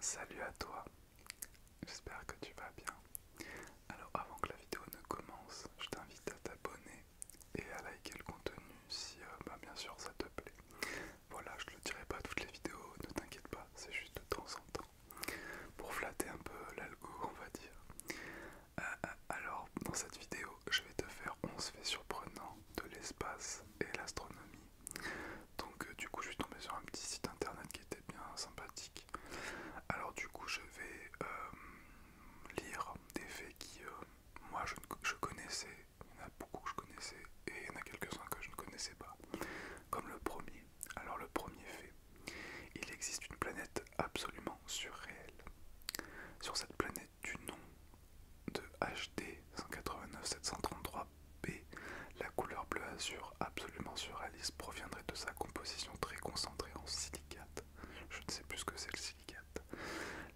Salut à toi, j'espère que tu vas bien. Alors avant que la vidéo ne commence, je t'invite à t'abonner et à liker le contenu si euh, bah, bien sûr ça te plaît. Voilà, je le dirai pas toutes les vidéos, ne t'inquiète pas, c'est juste de temps en temps. Pour flatter un peu l'algo on va dire. Euh, euh, alors dans cette vidéo je vais te faire 11 faits surprenants de l'espace et l'astronomie donc euh, du coup je suis tombé sur un petit site internet qui était bien sympathique. Alors du coup je vais euh, lire des faits qui euh, moi je, je connaissais, il y en a beaucoup que je connaissais et il y en a quelques-uns que je ne connaissais pas. Comme le premier. Alors le premier fait, il existe une planète absolument surréelle. Sur cette planète du nom de HD 189 733 B. La couleur bleu azur absolument surréaliste proviendrait de sa composition très concentrée en silicate. Je ne sais plus ce que c'est le silicate.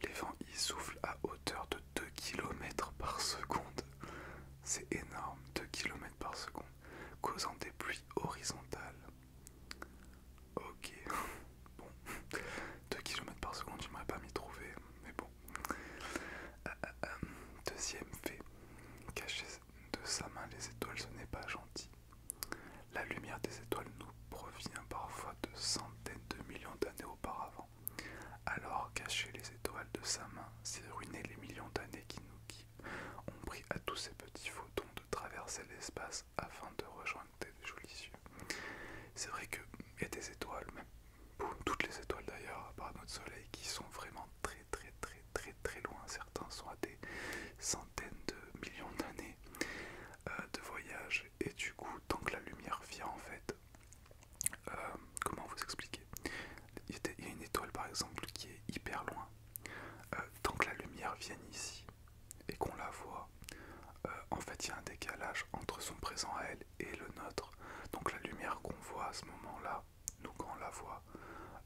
Les vents y soufflent à hauteur de 2 km par seconde. C'est énorme, 2 km par seconde, causant des pluies horizontales. Ok, bon, 2 km par seconde, je m'aurais pas m'y trouver, mais bon. Euh, euh, euh, deuxième fait, cacher de sa main les étoiles, ce n'est pas gentil. La lumière des étoiles nous provient parfois de centaines de millions d'années auparavant. Alors cacher les étoiles de sa main, c'est ruiner les millions d'années qui nous ont pris à tous ces petits photons de traverser l'espace afin de rejoindre des jolis yeux. C'est vrai que y a des étoiles, même toutes les étoiles d'ailleurs, à part notre soleil, qui sont vraiment très très très très très loin. Certains sont à des centaines de millions d'années euh, de voyage. Et du coup, tant que la lumière vient en fait, euh, comment vous expliquer Il y a une étoile par exemple qui est hyper loin. Euh, tant que la lumière vient ici et qu'on la voit, en fait il y a un décalage entre son présent à elle et le nôtre. Donc la lumière qu'on voit à ce moment-là, nous quand on la voit,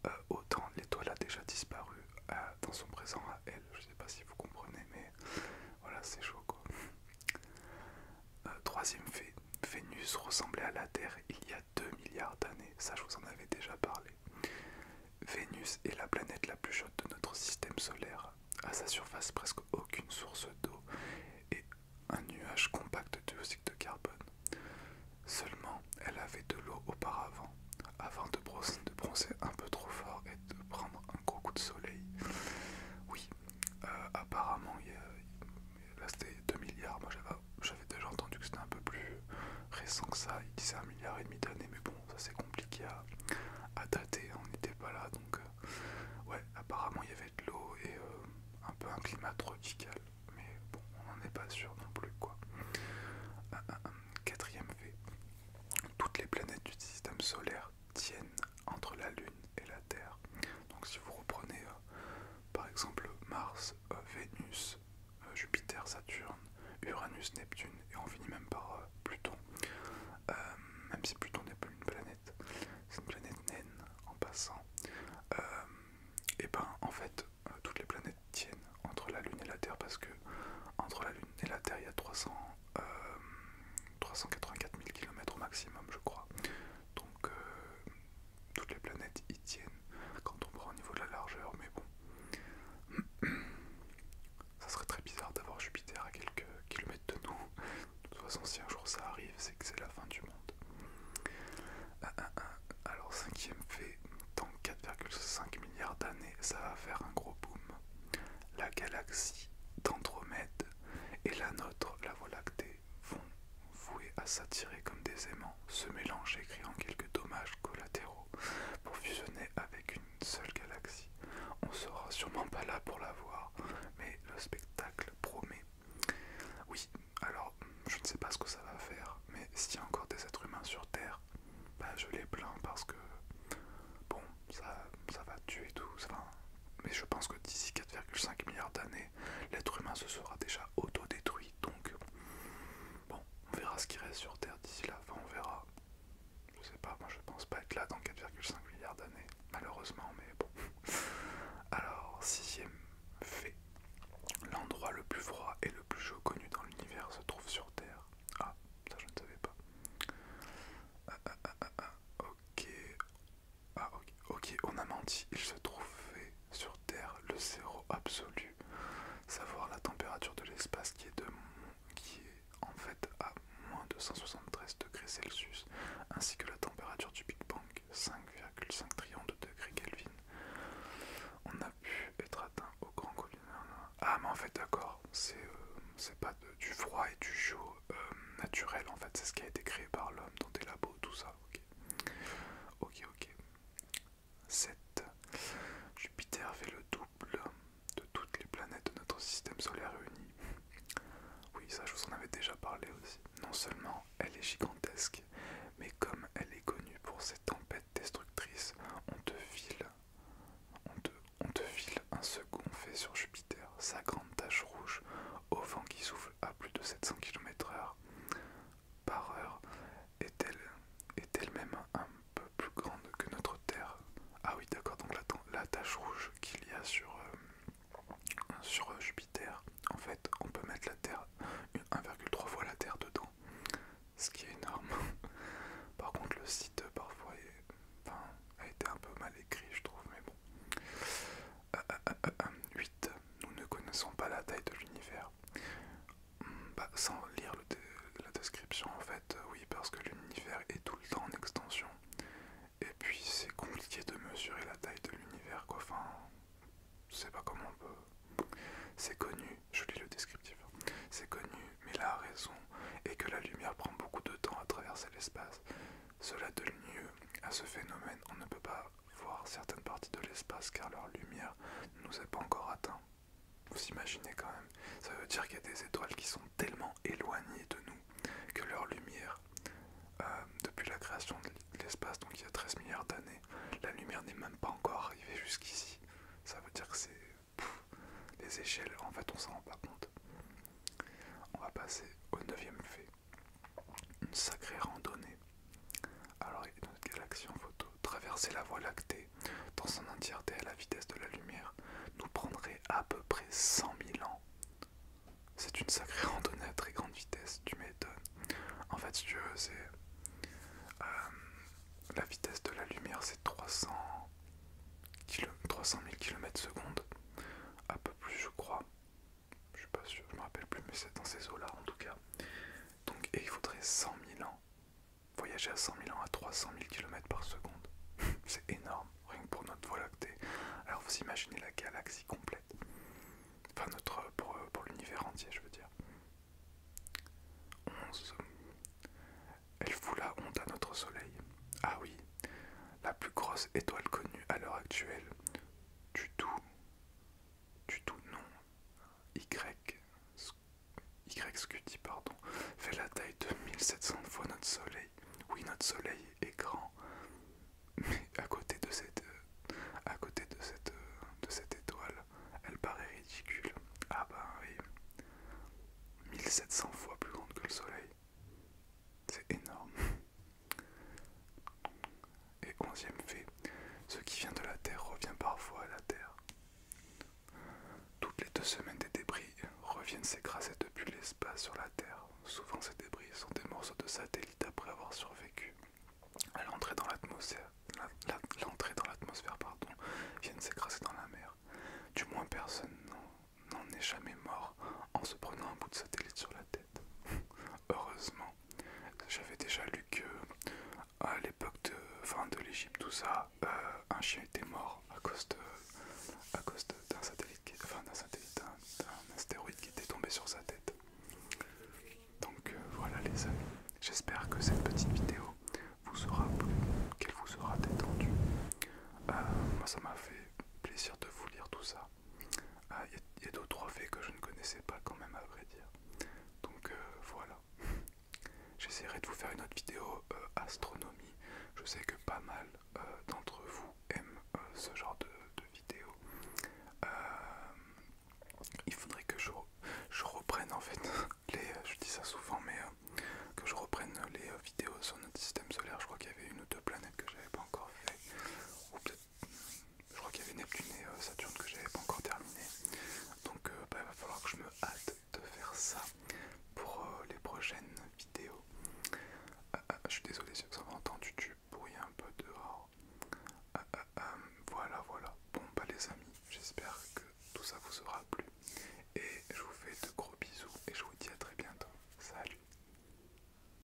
euh, autant l'étoile a déjà disparu euh, dans son présent à elle. Je ne sais pas si vous comprenez, mais voilà, c'est chaud quoi. Euh, troisième fait, Vénus ressemblait à la Terre il y a 2 milliards d'années. Ça, je vous en avais déjà parlé. Vénus est la planète la plus chaude de notre système solaire à sa surface presque aucune source d'eau et un nuage compact de dioxyde de carbone. Seulement, elle avait de l'eau auparavant, avant de bronzer, un peu trop fort et de prendre un gros coup de soleil. Oui, euh, apparemment, il là c'était 2 milliards. Moi j'avais déjà entendu que c'était un peu plus récent que ça. Il disait 1 milliard et demi d'années, mais bon, ça c'est compliqué à, dater. On n'était pas là donc. Euh, euh, ouais, apparemment il y avait de l'eau et euh, un peu un climat tropical, mais bon, on n'en est pas sûr non plus quoi. quatrième fait, toutes les planètes du système solaire tiennent entre la Lune et la Terre. Donc si vous reprenez euh, par exemple Mars, Vénus, Jupiter, Saturne, Uranus, Neptune et on finit même par Pluton, euh, même si Pluton n'est pas une planète, c'est une planète naine en passant. Euh, et ben en fait, euh, toutes les planètes tiennent entre la Lune et la Terre parce que entre la Lune et la Terre il y a 384 000 km au maximum, je crois. Donc toutes les planètes y tiennent quand on prend au niveau de la largeur, mais bon. Ça serait très bizarre d'avoir Jupiter à quelques kilomètres de nous. De toute façon, si un jour ça arrive, c'est que c'est la fin du monde. Ah, ah, ah. Alors, cinquième fait, dans 4,5 milliards d'années, ça va faire un gros boom. La galaxie d'Andromède et la nôtre, la Voie lactée, vont vouer à s'attirer comme des aimants, se mélanger créant quelques dommages collatéraux pour fusionner avec une une seule galaxie. On sera sûrement pas là pour la voir, mais le spectacle promet. Oui, alors je ne sais pas ce que ça va faire, mais s'il y a encore des êtres humains sur Terre, bah, je les plains parce que bon, ça, ça va tuer tout. Enfin, mais je pense que d'ici 4,5 milliards d'années, l'être humain se sera déjà auto-détruit, Donc, bon, on verra ce qui reste sur Terre d'ici là. on verra. Je sais pas, moi je pense pas être là dans 4,5 milliards d'années, malheureusement, mais bon. Alors, sixième fait, l'endroit le plus froid et le plus chaud connu dans l'univers se trouve sur Terre. Ah, ça je ne savais pas. Ah, ah, ah, ok. Ah, ok, ok, on a menti. Il se trouvait sur Terre le zéro absolu, savoir la température de l'espace qui est de qui est en fait à moins de 273 degrés Celsius, ainsi que la température du Big Bang, 5,5 trillions de degrés Kelvin, on a pu être atteint au grand Covid. Ah mais en fait d'accord, c'est euh, pas du froid et du chaud euh, naturel en fait, c'est ce qui a été créé par l'homme dans des labos, tout ça, ok. Ok, ok. 7. Jupiter fait le double de toutes les planètes de notre système solaire réuni. Oui, ça je vous en avais déjà parlé aussi. Non seulement elle est gigantesque, mais comme elle est connue pour ses tempêtes destructrices, on te file, on te, file un second fait sur Jupiter, sa grande tache rouge, au vent qui souffle à plus de 700 km/h par heure, est elle est elle-même un peu plus grande que notre Terre. Ah oui, d'accord. Donc la, la tache rouge qu'il y a sur euh, sur euh, Jupiter, en fait, on peut mettre la Terre 1,3 fois la Terre dedans, ce qui est énorme. Par contre, le site euh, parfois a été un peu mal écrit, je trouve, mais bon. 8. Nous ne connaissons pas la taille de l'univers. Bah, sans lire la description en fait, euh, oui, parce que l'univers est tout le temps en extension. Et puis c'est compliqué de mesurer la taille de l'univers, quoi. je sais pas comment on peut. C'est connu, je lis le descriptif, hein. c'est connu, mais la raison est que la lumière prend beaucoup de temps à traverser l'espace. Cela donne lieu à ce phénomène, on ne peut pas voir certaines parties de l'espace car leur lumière nous est pas encore atteinte. Vous imaginez quand même. Ça veut dire qu'il y a des étoiles qui sont tellement éloignées de nous que leur lumière, euh, depuis la création de l'espace, donc il y a 13 milliards d'années, la lumière n'est même pas encore arrivée jusqu'ici. Ça veut dire que c'est... Les échelles, en fait, on s'en rend pas compte. On va passer au neuvième fait. Une sacrée randonnée. Alors, il y a une galaxie en photo traverser la Voie lactée dans son entièreté à la vitesse de la lumière nous prendrait à peu près 100 000 ans. C'est une sacrée randonnée à très grande vitesse, tu m'étonnes. En fait, si tu veux, c'est. Euh, la vitesse de la lumière, c'est 300, 300 000 km secondes. Un peu plus, je crois. Je suis pas sûr, je me rappelle plus, mais c'est dans ces eaux-là en tout cas. Donc, il faudrait 100 000 ans. Voyager à 100 000 ans à 300 000 km par seconde. C'est énorme, rien que pour notre Voie lactée. Alors vous imaginez la galaxie complète. Enfin, notre, pour, pour l'univers entier, je veux dire. 11. Elle fout la honte à notre Soleil. Ah oui, la plus grosse étoile connue à l'heure actuelle. Du tout du tout non Y, y scuti pardon, fait la taille de 1700 fois notre soleil. Oui, notre soleil est grand, mais à côté de cette, euh, à côté de cette, euh, de cette étoile, elle paraît ridicule. Ah bah oui, 1700 fois plus grande que le soleil. C'est énorme. Et onzième fait, ce qui vient de la Terre revient parfois à la Terre. Toutes les deux semaines, des débris reviennent s'écraser depuis l'espace sur la Terre. Souvent, ces débris sont des morceaux de satellites après avoir survécu. À l'entrée dans l'atmosphère, dans l'atmosphère, pardon, viennent s'écraser dans la mer. Du moins, personne n'en est jamais mort en se prenant un bout de satellite sur la tête heureusement. J'avais déjà lu que à l'époque de fin de l'Égypte, tout ça, euh, un chien était mort à cause à cause d'un satellite, d'un astéroïde qui était tombé sur sa tête. Donc euh, voilà les amis. J'espère que cette petite vidéo vous aura plu, qu'elle vous aura détendu. Euh, moi, ça m'a fait plaisir de vous lire tout ça. Ah, il y a d'autres trois faits que je ne connaissais pas quand même à vrai dire. Donc euh, voilà. J'essaierai de vous faire une autre vidéo euh, astronomie. Je sais que pas mal euh, d'entre vous aiment ce genre de, vidéos il faudrait que je, reprenne en fait les... Je dis ça souvent mais que je reprenne les vidéos sur notre système solaire. Je crois qu'il y avait une ou deux planètes que j'avais pas encore fait. Ou peut-être je crois qu'il y avait Neptune et euh, Saturne que j'avais pas encore terminé. Donc il euh, bah, va falloir que je me hâte de faire ça pour euh, les prochaines vidéos. Ah, ah, je suis désolé si vous avez entendu du bruit un peu dehors. Ah, voilà, voilà. Bon bah les amis, j'espère que tout ça vous aura plu. Et je vous fais de gros bisous et je vous dis à très bientôt. Salut